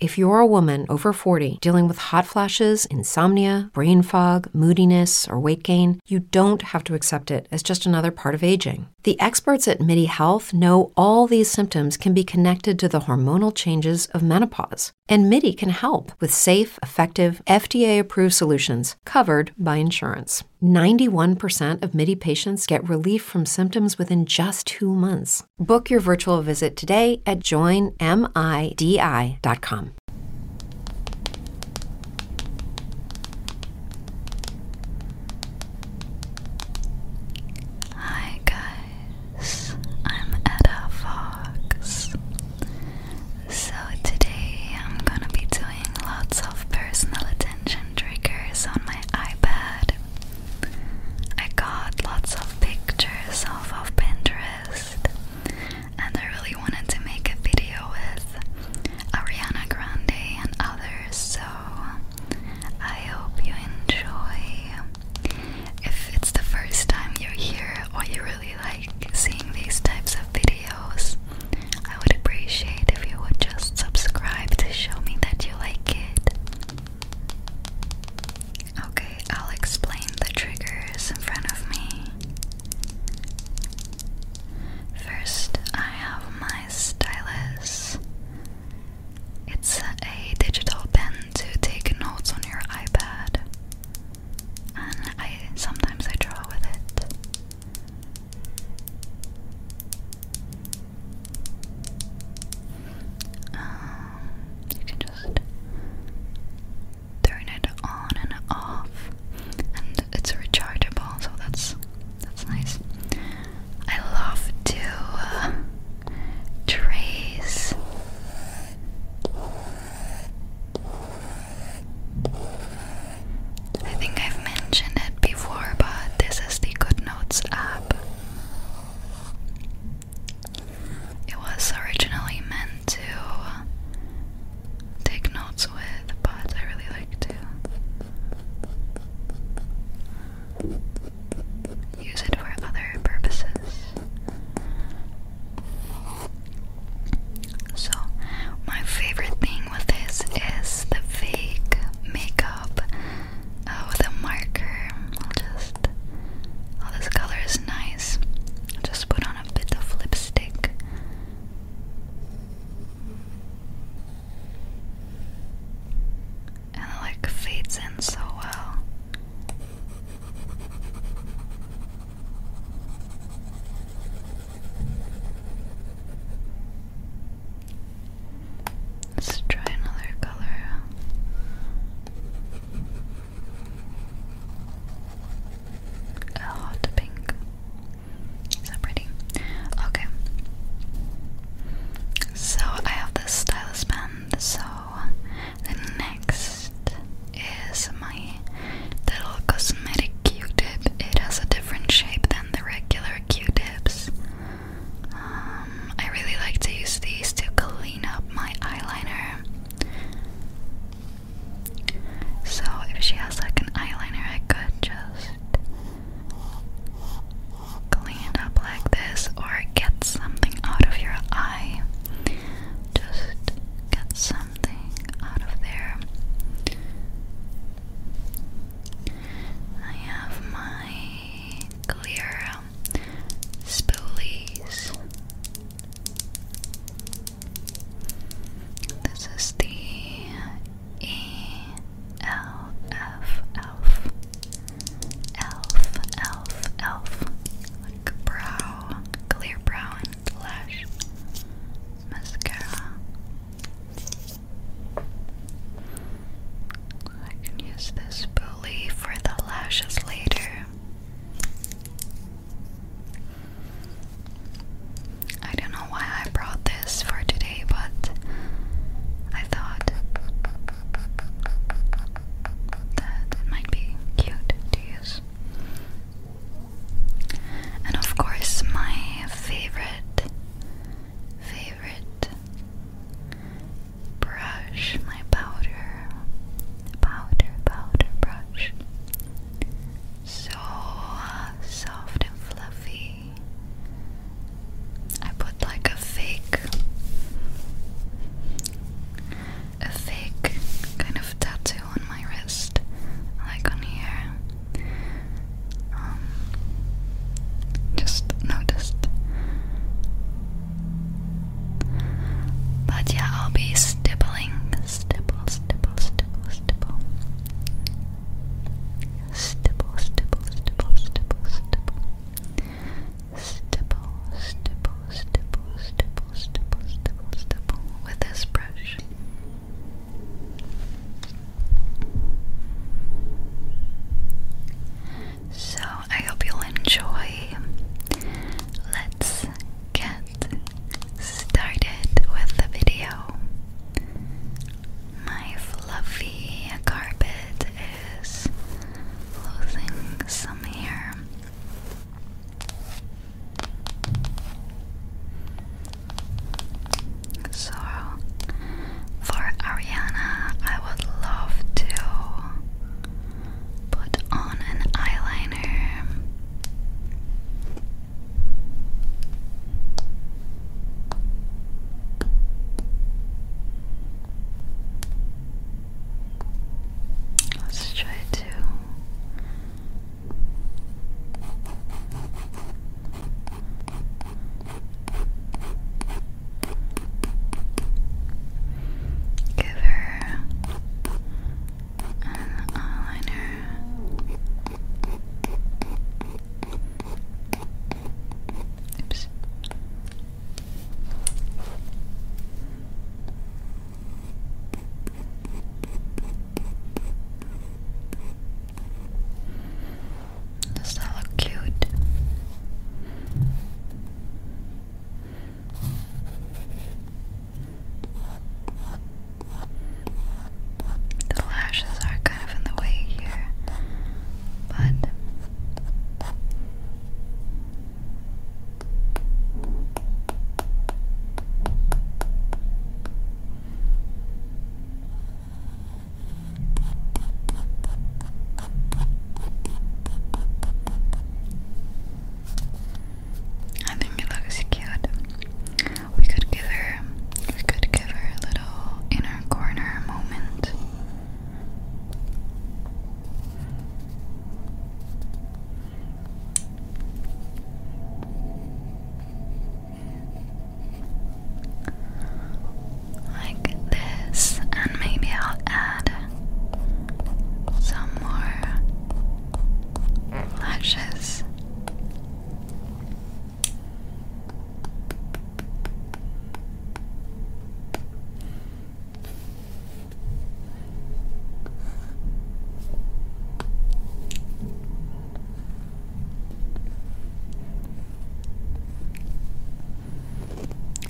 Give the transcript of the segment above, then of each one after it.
If you're a woman over 40 dealing with hot flashes, insomnia, brain fog, moodiness, or weight gain, you don't have to accept it as just another part of aging. The experts at MIDI Health know all these symptoms can be connected to the hormonal changes of menopause, and MIDI can help with safe, effective, FDA approved solutions covered by insurance. 91% of MIDI patients get relief from symptoms within just two months. Book your virtual visit today at joinmidi.com. Hi guys, I'm Etta Fox. So today I'm gonna be doing lots of personal attention triggers on my iPad. I got lots of pictures off of Pinterest, and I really wanted to make a video with Ariana Grande and others, so I hope you enjoy. If it's the first time you're here or you really like seeing these types of videos, I would appreciate if you would just subscribe to show me that you like it. Okay, I'll explain the triggers in front of me. First, I have my stylus. It's a digital pen to take notes on your iPad. And I sometimes I draw with it. Um, you can just turn it on and off, and it's rechargeable, so that's that's nice. I love to uh, trace. I think I've mentioned it before, but this is the Good Notes app. It was originally meant to take notes with, but I really like to use it for other purposes. So, my favorite thing with this is the fake makeup uh, with a marker. just left. Oh, this color is nice. just put on a bit of lipstick. And like fades in so well. Let's try another color hot pink. Is that pretty? Okay. So I have this stylus pen. So the next is my little cosmetic Q-tip. It has a different shape than the regular Q-tips. Uh, um, I really like to use these to clean up my eyeliner. So if she has like an eyeliner, I could just clean it up like this or get something out of your eye. Just get something out of there. I have my clear spoolies. This is the E L F elf elf elf elf like brow clear brow and lash mascara. I can use this spoolie for the lashes later. I don't know why I brought this for today, but I thought that it might be cute to use. And of course, my favorite, favorite brush, my powder, powder, powder brush. So uh, soft and fluffy. I put like a fake, a fake kind of tattoo on my wrist, like on here. Um, just noticed. But yeah, I'll be stippling, stipple, stipple, stipple, stipple, stipple, stipple, stipple, stipple, stipple, stipple, stipple, stipple, with this brush. So I hope you'll enjoy. Let's get started with the video. My fluffy carpet is losing some hair. So, for Ariana, I would love to put on an eyeliner. Let's try to give her an eyeliner. Oops. Does that look cute? The lashes are kind of in the way here, but. I think it looks cute. We could give her we could give her a little inner corner moment. Like this, and maybe I'll add some more lashes.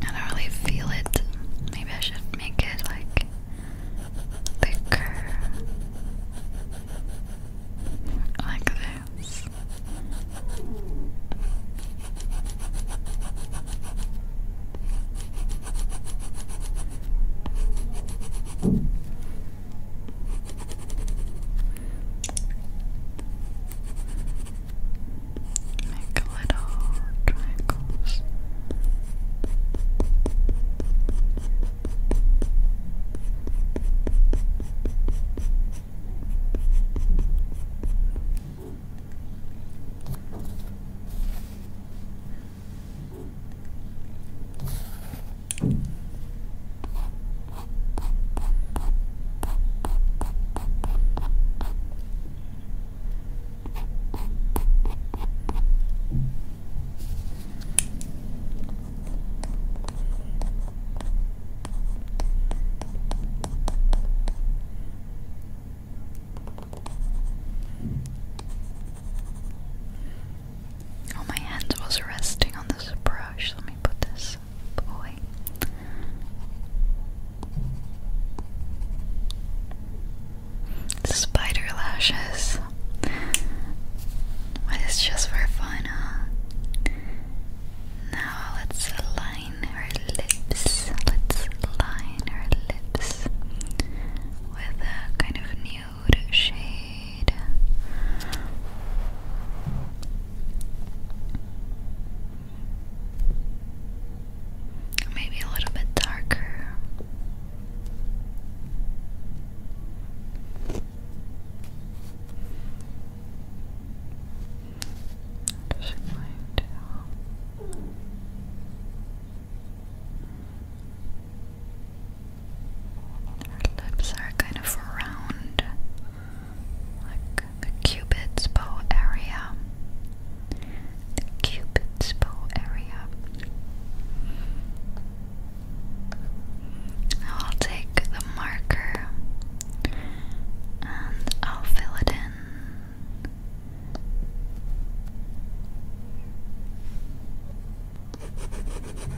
I don't really feel it. Maybe I should make it like thicker. Like this make little triangles. Oh, my hand was resting on this brush. Let me put this away. Spider lashes. It's just for fun, huh? Now let's line her lips. Let's line her lips with a kind of nude shade maybe a little bit darker. Just going to lips are kind of round, like the cupid's bow area the Cupid's bow area. I'll take the marker and I'll fill it in.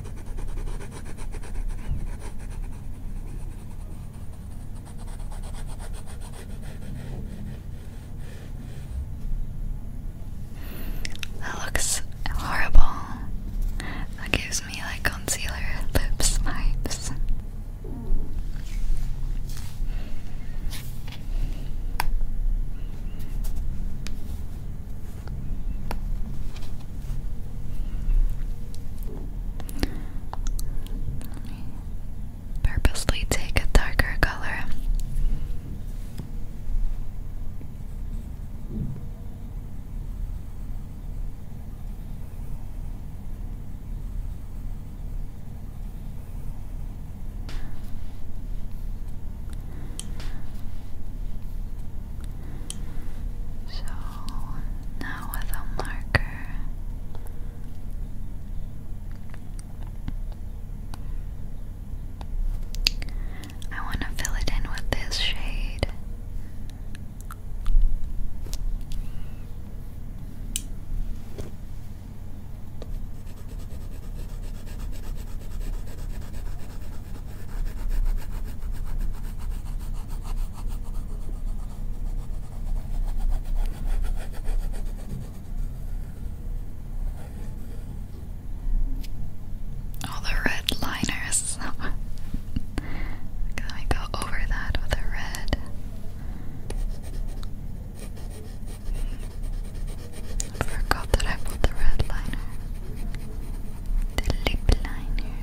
That looks horrible. That gives me like concealer lips vibes. Purposefully take a darker color. So now with a marker I want to fill it in with this shade. All the red liners. Let me go over that with a red. forgot that I put the red liner. The lip liner.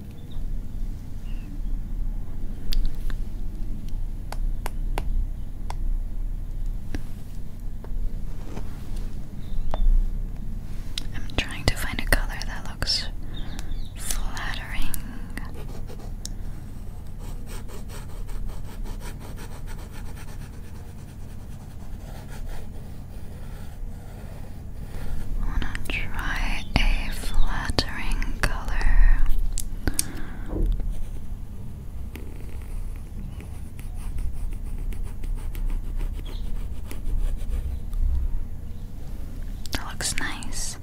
I'm trying to find a color that looks flattering. I want to try a flattering color. That looks nice.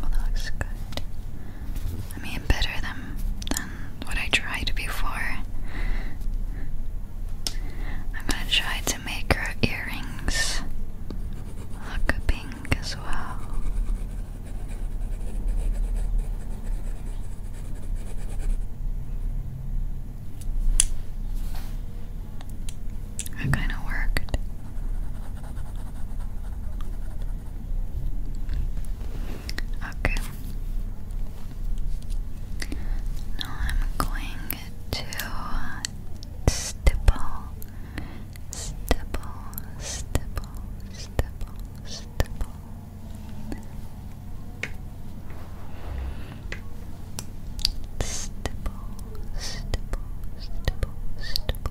Well, oh, that looks good. I mean, better than than what I tried before. I'm gonna try to make her earrings look pink as well. It kind of worked. Okay. Now I'm going to stipple, stipple, stipple, stipple, stipple. Stipple, stipple, stipple, stipple,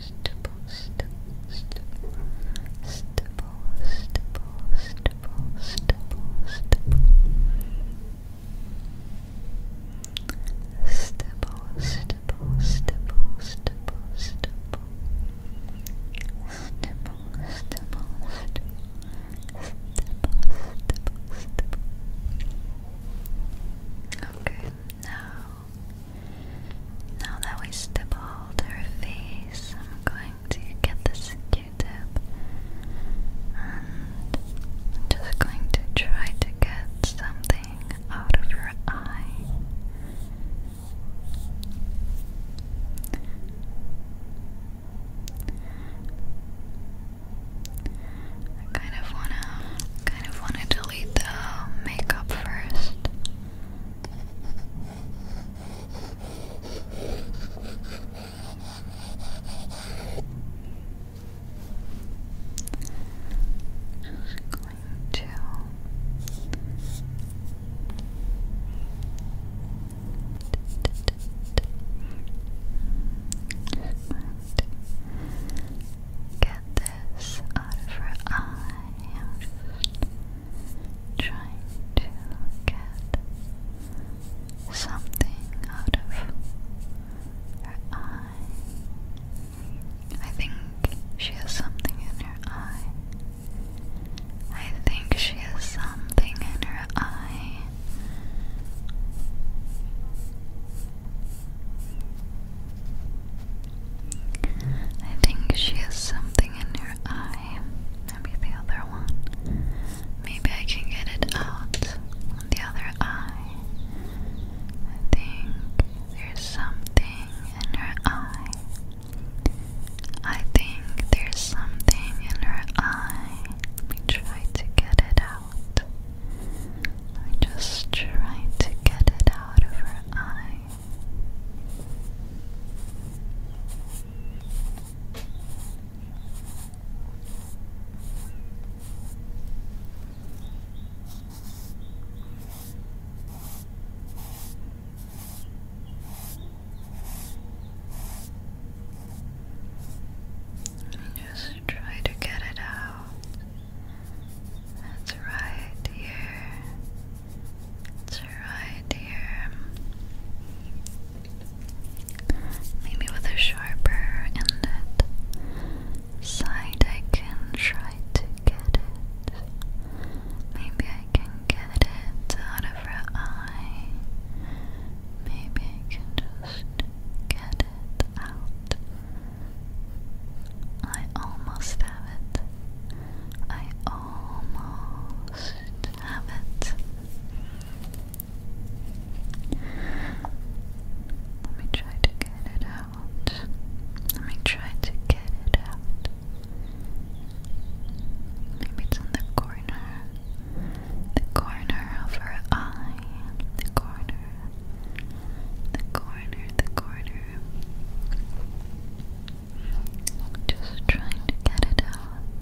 stipple, stipple, stipple, stipple, stipple, stipple, stipple, stipple, stipple, stipple, stipple, stipple, stipple. Stipple, stipple, stipple, stipple, stipple. Okay, now now that we stippled her face, I'm going to get this Q-tip and just going to try to get something out of her eye. I kind of wanna, kind of wanna delete the makeup first. Just going to get this out of her eye. I'm just trying to get something out of her eye. I think she has something in her eye. I think she has something in her eye. I think she has something in her eye. Maybe the other one. Maybe I can get it out the other eye. I think there's something in her eye. I think there's something in her eye. Let try to get it out. Let me just try to get it out of her eye. Just try to get it out. That's right here. It's right here. Maybe with a sharper end side I can try to get it. Maybe I can get it out of her eye. Maybe I can just get it out. I almost have it. I almost have it. Let me try to get it out. Let me try to get it out. Maybe it's in the corner. The corner of her eye. The corner. The corner. The corner. Just trying to get it out.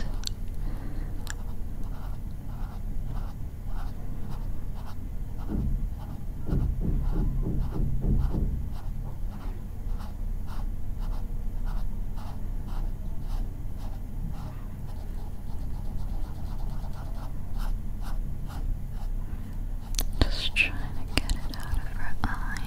Just trying to get it out of her eye.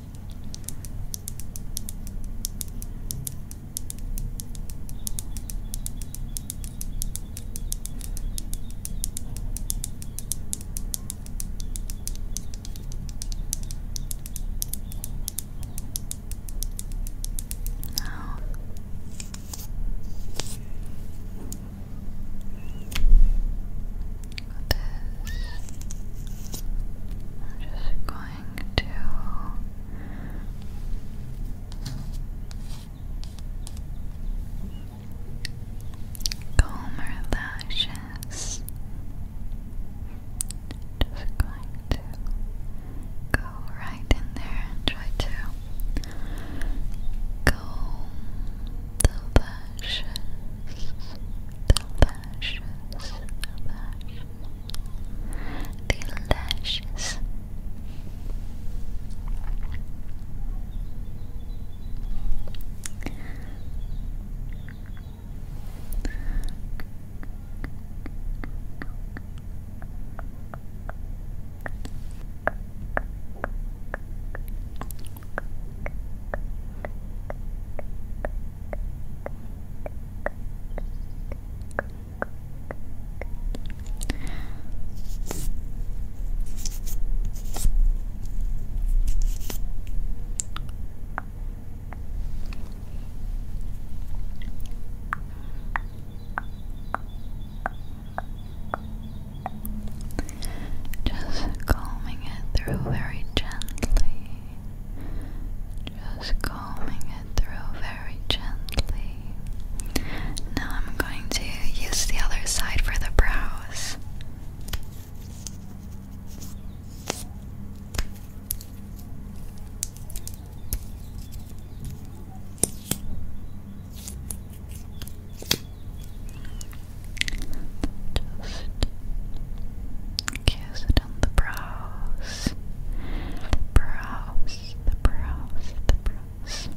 Now, this. I'm just going going to comb lashes. Just going to go right in there and try to comb the lashes, the lashes, the lashes the lashes. Just calming it through very gently. Just combing it through very gently. Now I'm going to use the other side for the brows. Just kiss it down the brows, the brows, the brows, the brows.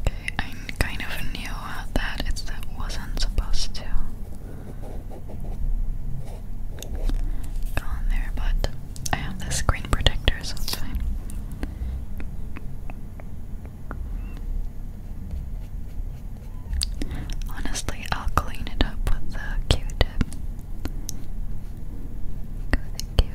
Okay, I kind of knew that it wasn't supposed to go on there, but I have the screen protector, so it's fine. Honestly, I'll clean it up with the tip with the tip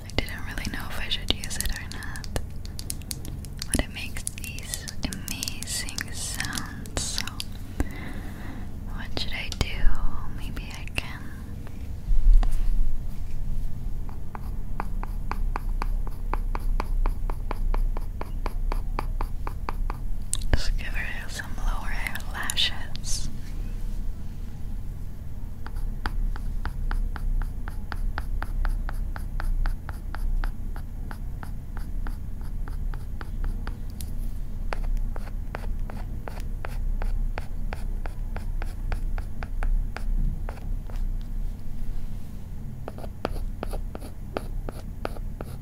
I didn't really know if I should use it or not, but it makes these amazing sounds. So, what should I do? Maybe I can. Just give her some lower eyelashes.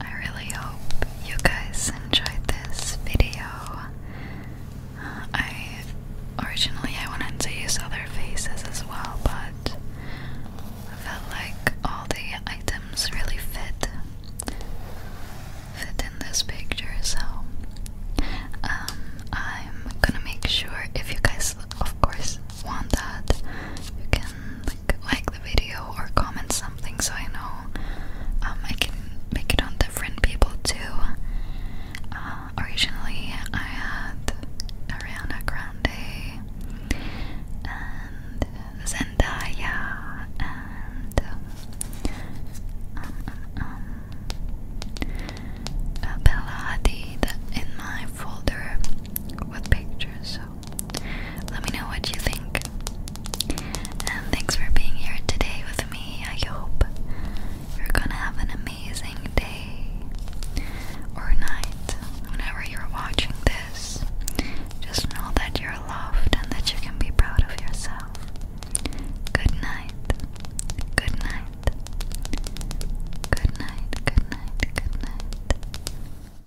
I really hope you guys enjoyed this video. I originally I wanted to use other faces as well, but I felt like all the items really fit fit in this picture, so um, I'm gonna make sure if you guys, of course, want that, you can like the video or comment something so I know um, I can make it on different people too. Uh, originally, I had Ariana Grande and Zendaya and um, um, um, uh, Bella Hadid in my folder with pictures let me know what you think. And thanks for being here today with me. I hope you're gonna have an amazing day or night whenever you're watching this. Just know that you're loved and that you can be proud of yourself. Good night. Good night. Good night. Good night. Good night.